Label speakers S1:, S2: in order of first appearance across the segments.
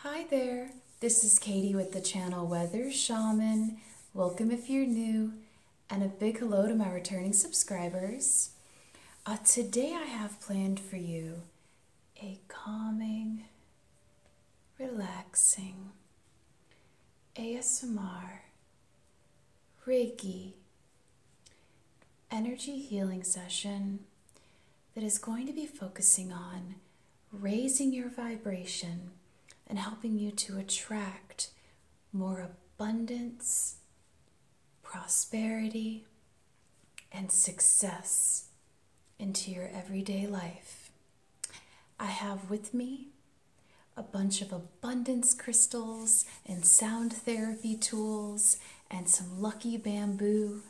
S1: Hi there, this is Katie with the channel Weather Shaman. Welcome if you're new, and a big hello to my returning subscribers. Uh, today I have planned for you a calming, relaxing ASMR, Reiki, energy healing session that is going to be focusing on raising your vibration and helping you to attract more abundance, prosperity, and success into your everyday life. I have with me a bunch of abundance crystals and sound therapy tools and some lucky bamboo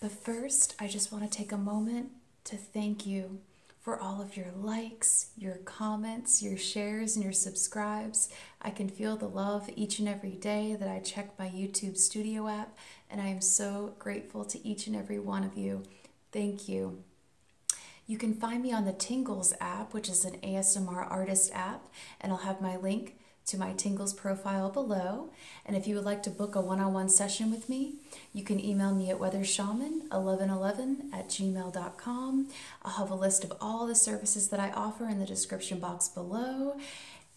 S1: but first, I just want to take a moment to thank you for all of your likes, your comments, your shares, and your subscribes. I can feel the love each and every day that I check my YouTube studio app, and I am so grateful to each and every one of you. Thank you. You can find me on the Tingles app, which is an ASMR artist app, and I'll have my link to my Tingles profile below. And if you would like to book a one-on-one session with me, you can email me at weathershaman1111 at gmail.com. I'll have a list of all the services that I offer in the description box below.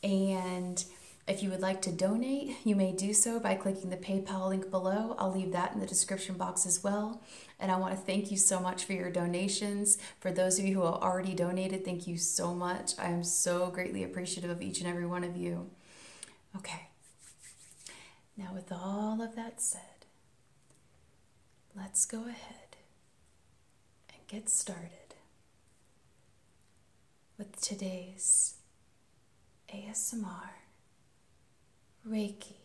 S1: And if you would like to donate, you may do so by clicking the PayPal link below. I'll leave that in the description box as well. And I want to thank you so much for your donations. For those of you who have already donated, thank you so much. I am so greatly appreciative of each and every one of you. Okay. Now, with all of that said, let's go ahead and get started with today's ASMR Reiki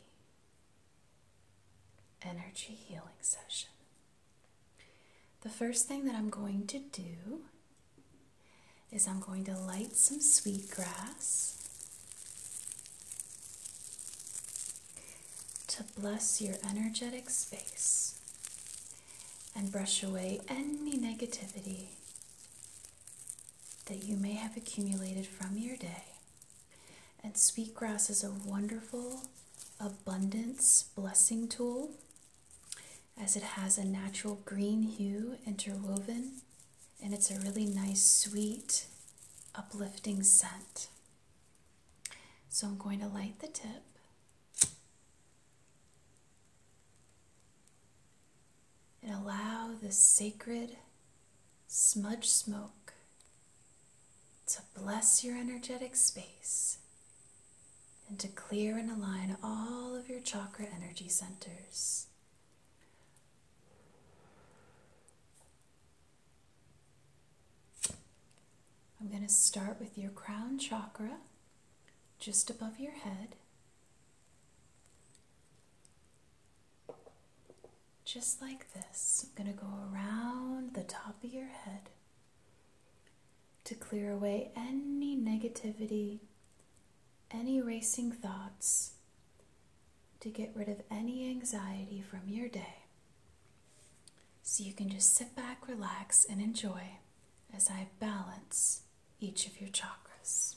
S1: energy healing session. The first thing that I'm going to do is I'm going to light some sweetgrass to bless your energetic space and brush away any negativity that you may have accumulated from your day. And sweetgrass is a wonderful abundance blessing tool as it has a natural green hue interwoven and it's a really nice, sweet, uplifting scent. So I'm going to light the tip. And allow this sacred smudge smoke to bless your energetic space and to clear and align all of your chakra energy centers. I'm going to start with your crown chakra just above your head. Just like this, I'm going to go around the top of your head to clear away any negativity, any racing thoughts, to get rid of any anxiety from your day. So you can just sit back, relax, and enjoy as I balance each of your chakras.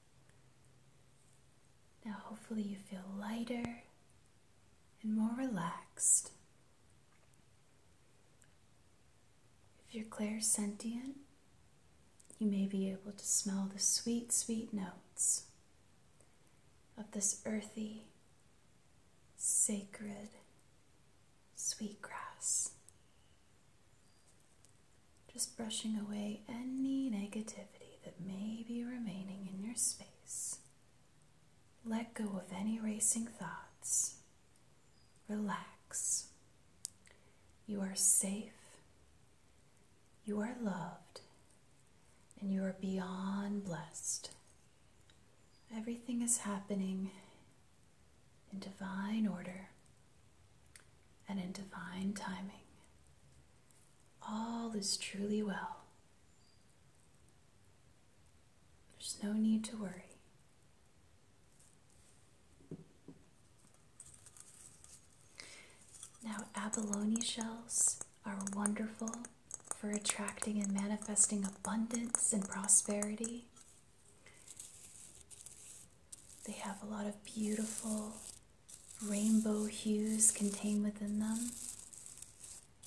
S1: Now, hopefully, you feel lighter and more relaxed. If you're sentient, you may be able to smell the sweet, sweet notes of this earthy, sacred sweet grass. Just brushing away any negativity that may be remaining in your space. Let go of any racing thoughts. Relax. You are safe. You are loved. And you are beyond blessed. Everything is happening in divine order and in divine timing all is truly well. There's no need to worry. Now, abalone shells are wonderful for attracting and manifesting abundance and prosperity. They have a lot of beautiful rainbow hues contained within them.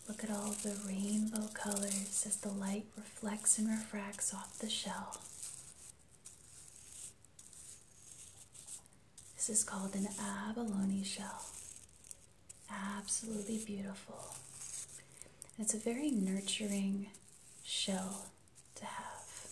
S1: Look at all the rainbow colors as the light reflects and refracts off the shell. This is called an abalone shell. Absolutely beautiful. It's a very nurturing shell to have.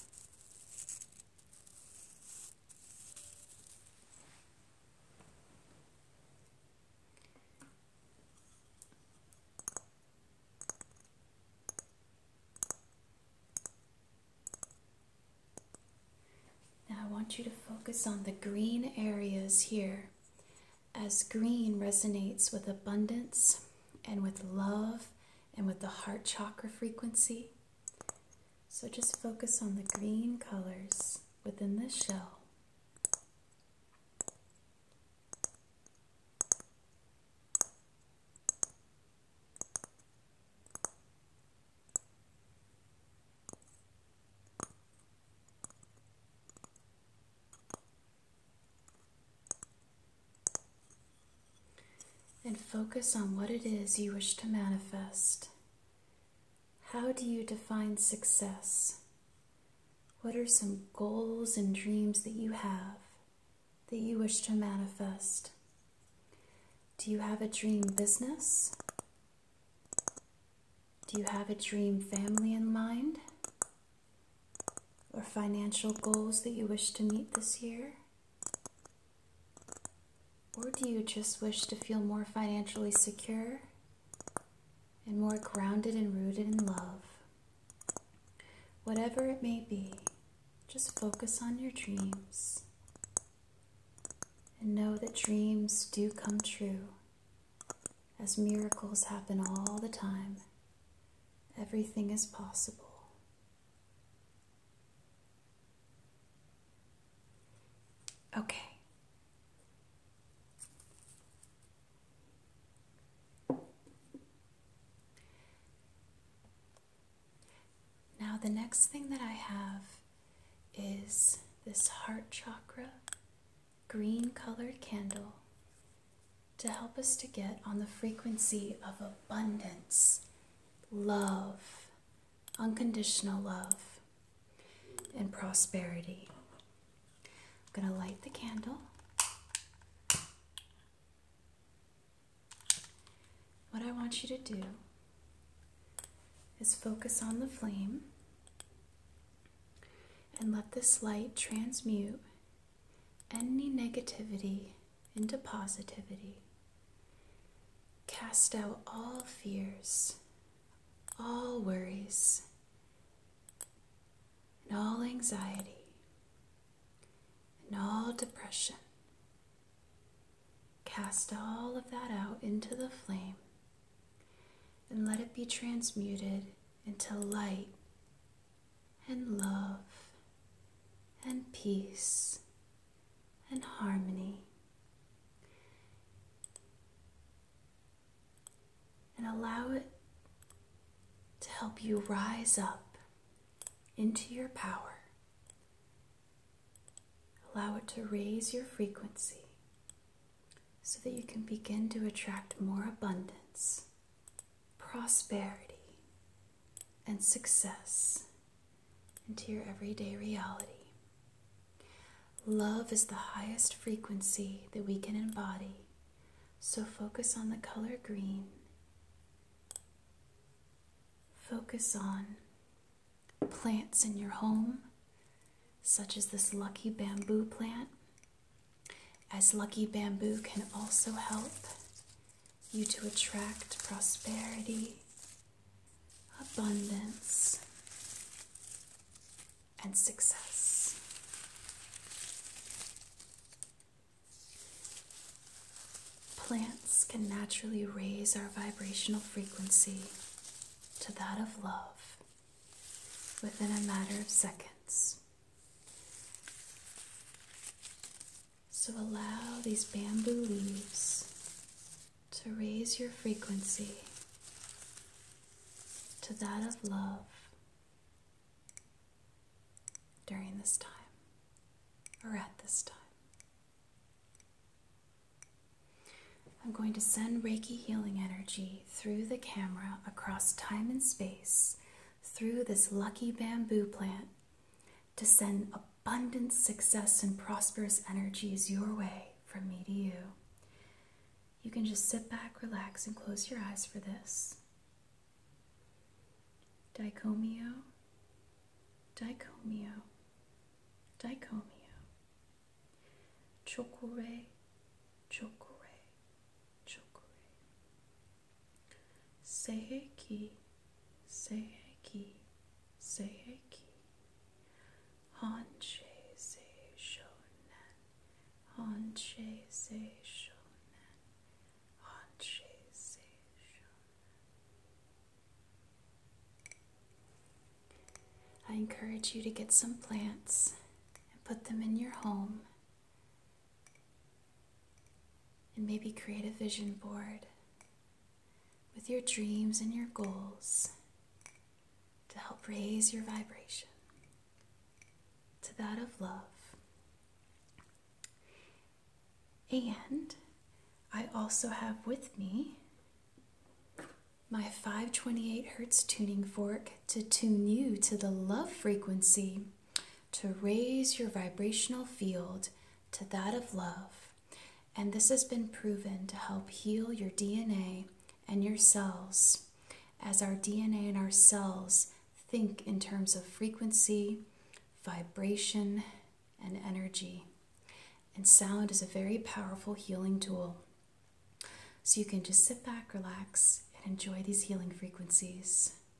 S1: Now, I want you to focus on the green areas here, as green resonates with abundance and with love and with the heart chakra frequency. So just focus on the green colors within this shell and focus on what it is you wish to manifest. How do you define success? What are some goals and dreams that you have that you wish to manifest? Do you have a dream business? Do you have a dream family in mind? Or financial goals that you wish to meet this year? Or do you just wish to feel more financially secure and more grounded and rooted in love? Whatever it may be, just focus on your dreams and know that dreams do come true as miracles happen all the time. Everything is possible. Okay. Now, the next thing that I have is this heart chakra green colored candle to help us to get on the frequency of abundance love, unconditional love, and prosperity. I'm going to light the candle. What I want you to do is focus on the flame and let this light transmute any negativity into positivity. Cast out all fears, all worries, and all anxiety, and all depression. Cast all of that out into the flame and let it be transmuted into light and love and peace and harmony. And allow it to help you rise up into your power. Allow it to raise your frequency so that you can begin to attract more abundance prosperity, and success into your everyday reality. Love is the highest frequency that we can embody, so focus on the color green. Focus on plants in your home, such as this lucky bamboo plant, as lucky bamboo can also help you to attract prosperity, abundance, and success. Plants can naturally raise our vibrational frequency to that of love within a matter of seconds. So allow these bamboo leaves to raise your frequency to that of love during this time or at this time. I'm going to send Reiki healing energy through the camera across time and space through this lucky bamboo plant to send abundant success and prosperous energies your way from me to you. You can just sit back, relax, and close your eyes for this. Dicomio, dicomio, dicomio. Chokure, chokure, chokure. Seiki, Seiki, Seiki, Hanche Se Shonen, Hanche Se Shonen, I encourage you to get some plants and put them in your home. And maybe create a vision board with your dreams and your goals to help raise your vibration to that of love. And I also have with me my 528 Hertz tuning fork to tune you to the love frequency to raise your vibrational field to that of love. And this has been proven to help heal your DNA and your cells as our DNA and our cells think in terms of frequency, vibration, and energy. And sound is a very powerful healing tool. So you can just sit back, relax, and enjoy these healing frequencies.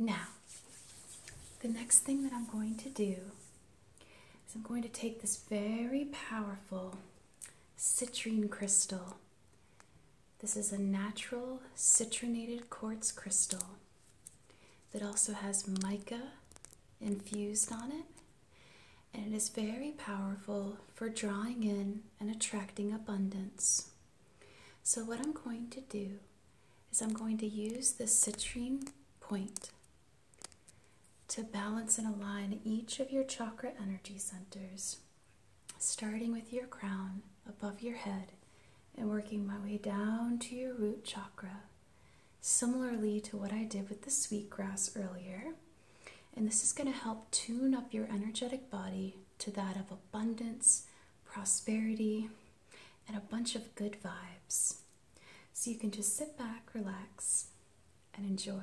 S1: Now, the next thing that I'm going to do is I'm going to take this very powerful citrine crystal. This is a natural citrinated quartz crystal that also has mica infused on it and it is very powerful for drawing in and attracting abundance. So, what I'm going to do is I'm going to use the citrine point to balance and align each of your chakra energy centers, starting with your crown above your head and working my way down to your root chakra similarly to what I did with the sweetgrass earlier. And this is going to help tune up your energetic body to that of abundance, prosperity, and a bunch of good vibes. So you can just sit back, relax, and enjoy.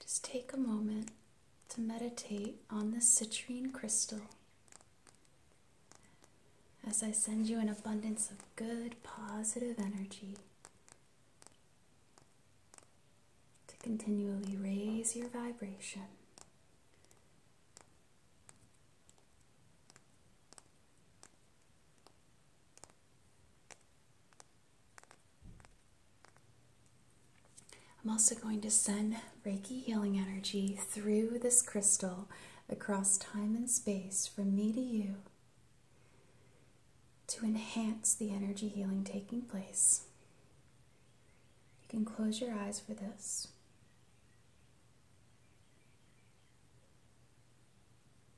S1: Just take a moment to meditate on this citrine crystal as I send you an abundance of good, positive energy to continually raise your vibration. I'm also going to send Reiki healing energy through this crystal across time and space from me to you to enhance the energy healing taking place. You can close your eyes for this.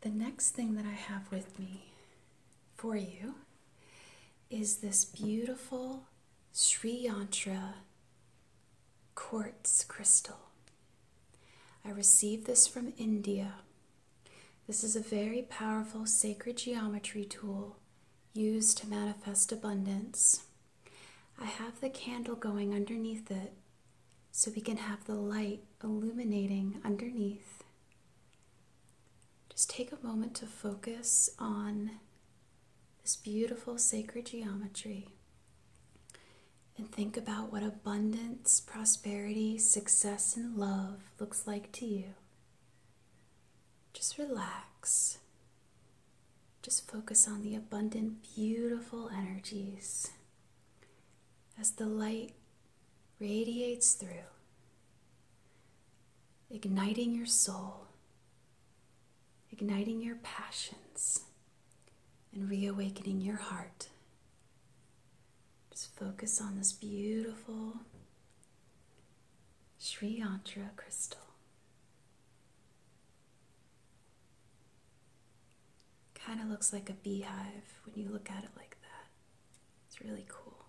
S1: the next thing that I have with me for you is this beautiful Sri Yantra quartz crystal. I received this from India. This is a very powerful sacred geometry tool used to manifest abundance. I have the candle going underneath it so we can have the light illuminating underneath. Just take a moment to focus on this beautiful sacred geometry and think about what abundance, prosperity, success, and love looks like to you. Just relax. Just focus on the abundant, beautiful energies as the light radiates through, igniting your soul, igniting your passions, and reawakening your heart. Just focus on this beautiful Sri Yantra crystal. Kind of looks like a beehive when you look at it like that. It's really cool.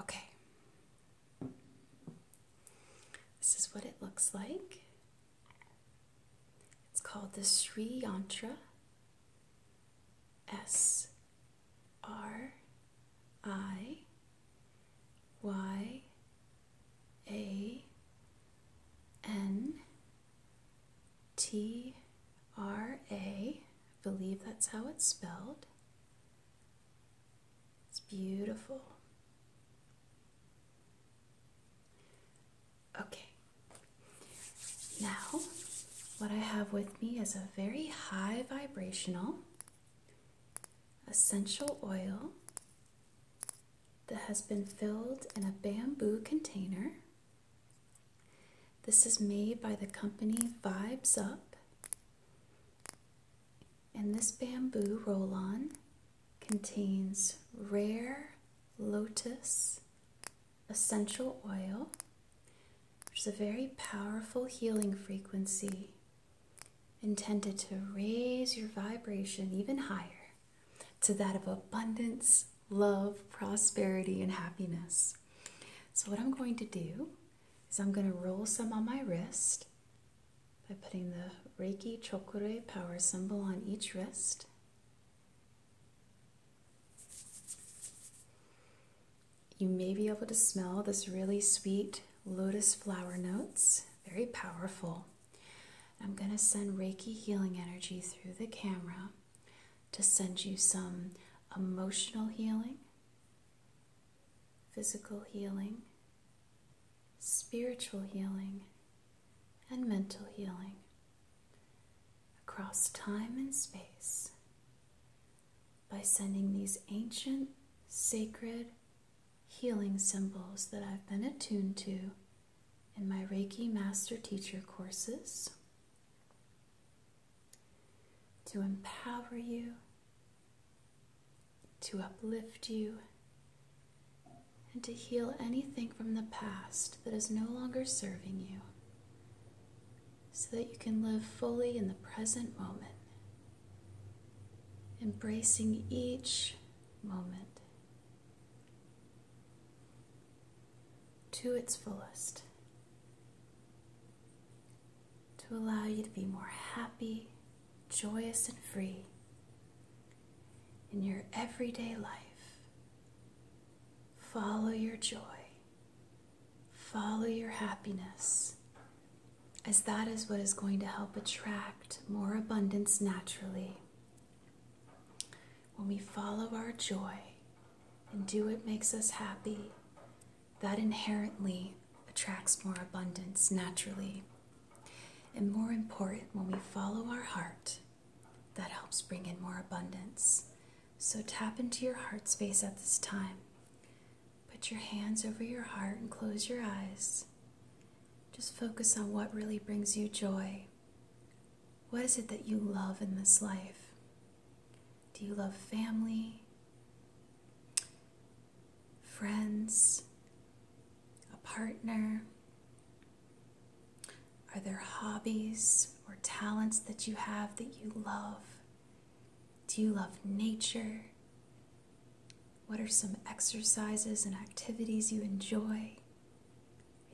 S1: Okay. This is what it looks like. It's called the Sri Yantra. S R I Y A N T R A. I believe that's how it's spelled. It's beautiful. Okay. Now, what I have with me is a very high vibrational essential oil that has been filled in a bamboo container. This is made by the company Vibes Up. And this bamboo roll on contains rare lotus essential oil there's a very powerful healing frequency intended to raise your vibration even higher to that of abundance, love, prosperity, and happiness. So, what I'm going to do is I'm going to roll some on my wrist by putting the Reiki Chokure power symbol on each wrist. You may be able to smell this really sweet lotus flower notes, very powerful. I'm going to send Reiki healing energy through the camera to send you some emotional healing, physical healing, spiritual healing, and mental healing across time and space by sending these ancient, sacred, healing symbols that I've been attuned to in my Reiki Master Teacher courses to empower you, to uplift you, and to heal anything from the past that is no longer serving you so that you can live fully in the present moment, embracing each moment to its fullest, to allow you to be more happy, joyous, and free in your everyday life. Follow your joy Follow your happiness, as that is what is going to help attract more abundance naturally. When we follow our joy and do what makes us happy, that inherently attracts more abundance naturally. And more important, when we follow our heart, that helps bring in more abundance. So tap into your heart space at this time. Put your hands over your heart and close your eyes. Just focus on what really brings you joy. What is it that you love in this life? Do you love family, friends, a partner? Are there hobbies or talents that you have that you love do you love nature? What are some exercises and activities you enjoy?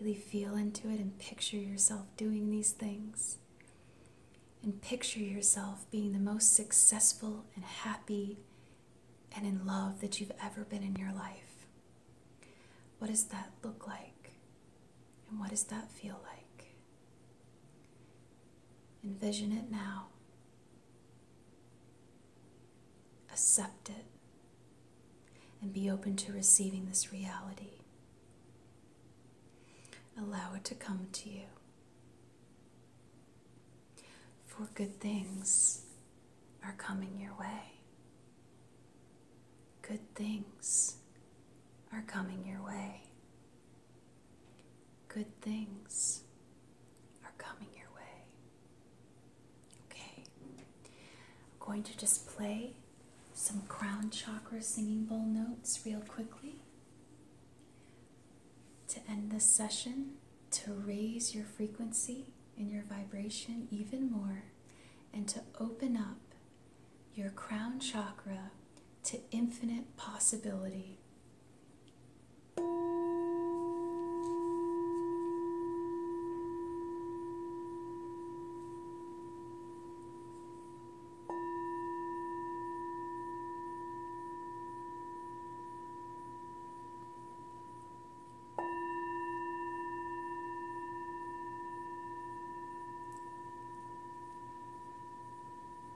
S1: Really feel into it and picture yourself doing these things. And picture yourself being the most successful and happy and in love that you've ever been in your life. What does that look like? And what does that feel like? Envision it now. Accept it and be open to receiving this reality. Allow it to come to you. For good things are coming your way. Good things are coming your way good things are coming your way. Okay, I'm going to just play some crown chakra singing bowl notes real quickly to end this session, to raise your frequency and your vibration even more, and to open up your crown chakra to infinite possibility.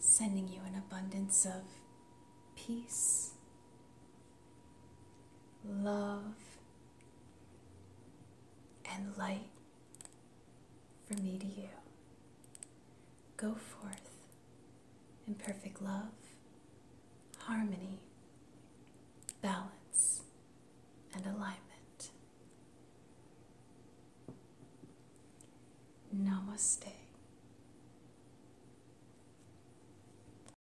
S1: Sending you an abundance of peace love, and light from me to you. Go forth in perfect love, harmony, balance, and alignment. Namaste.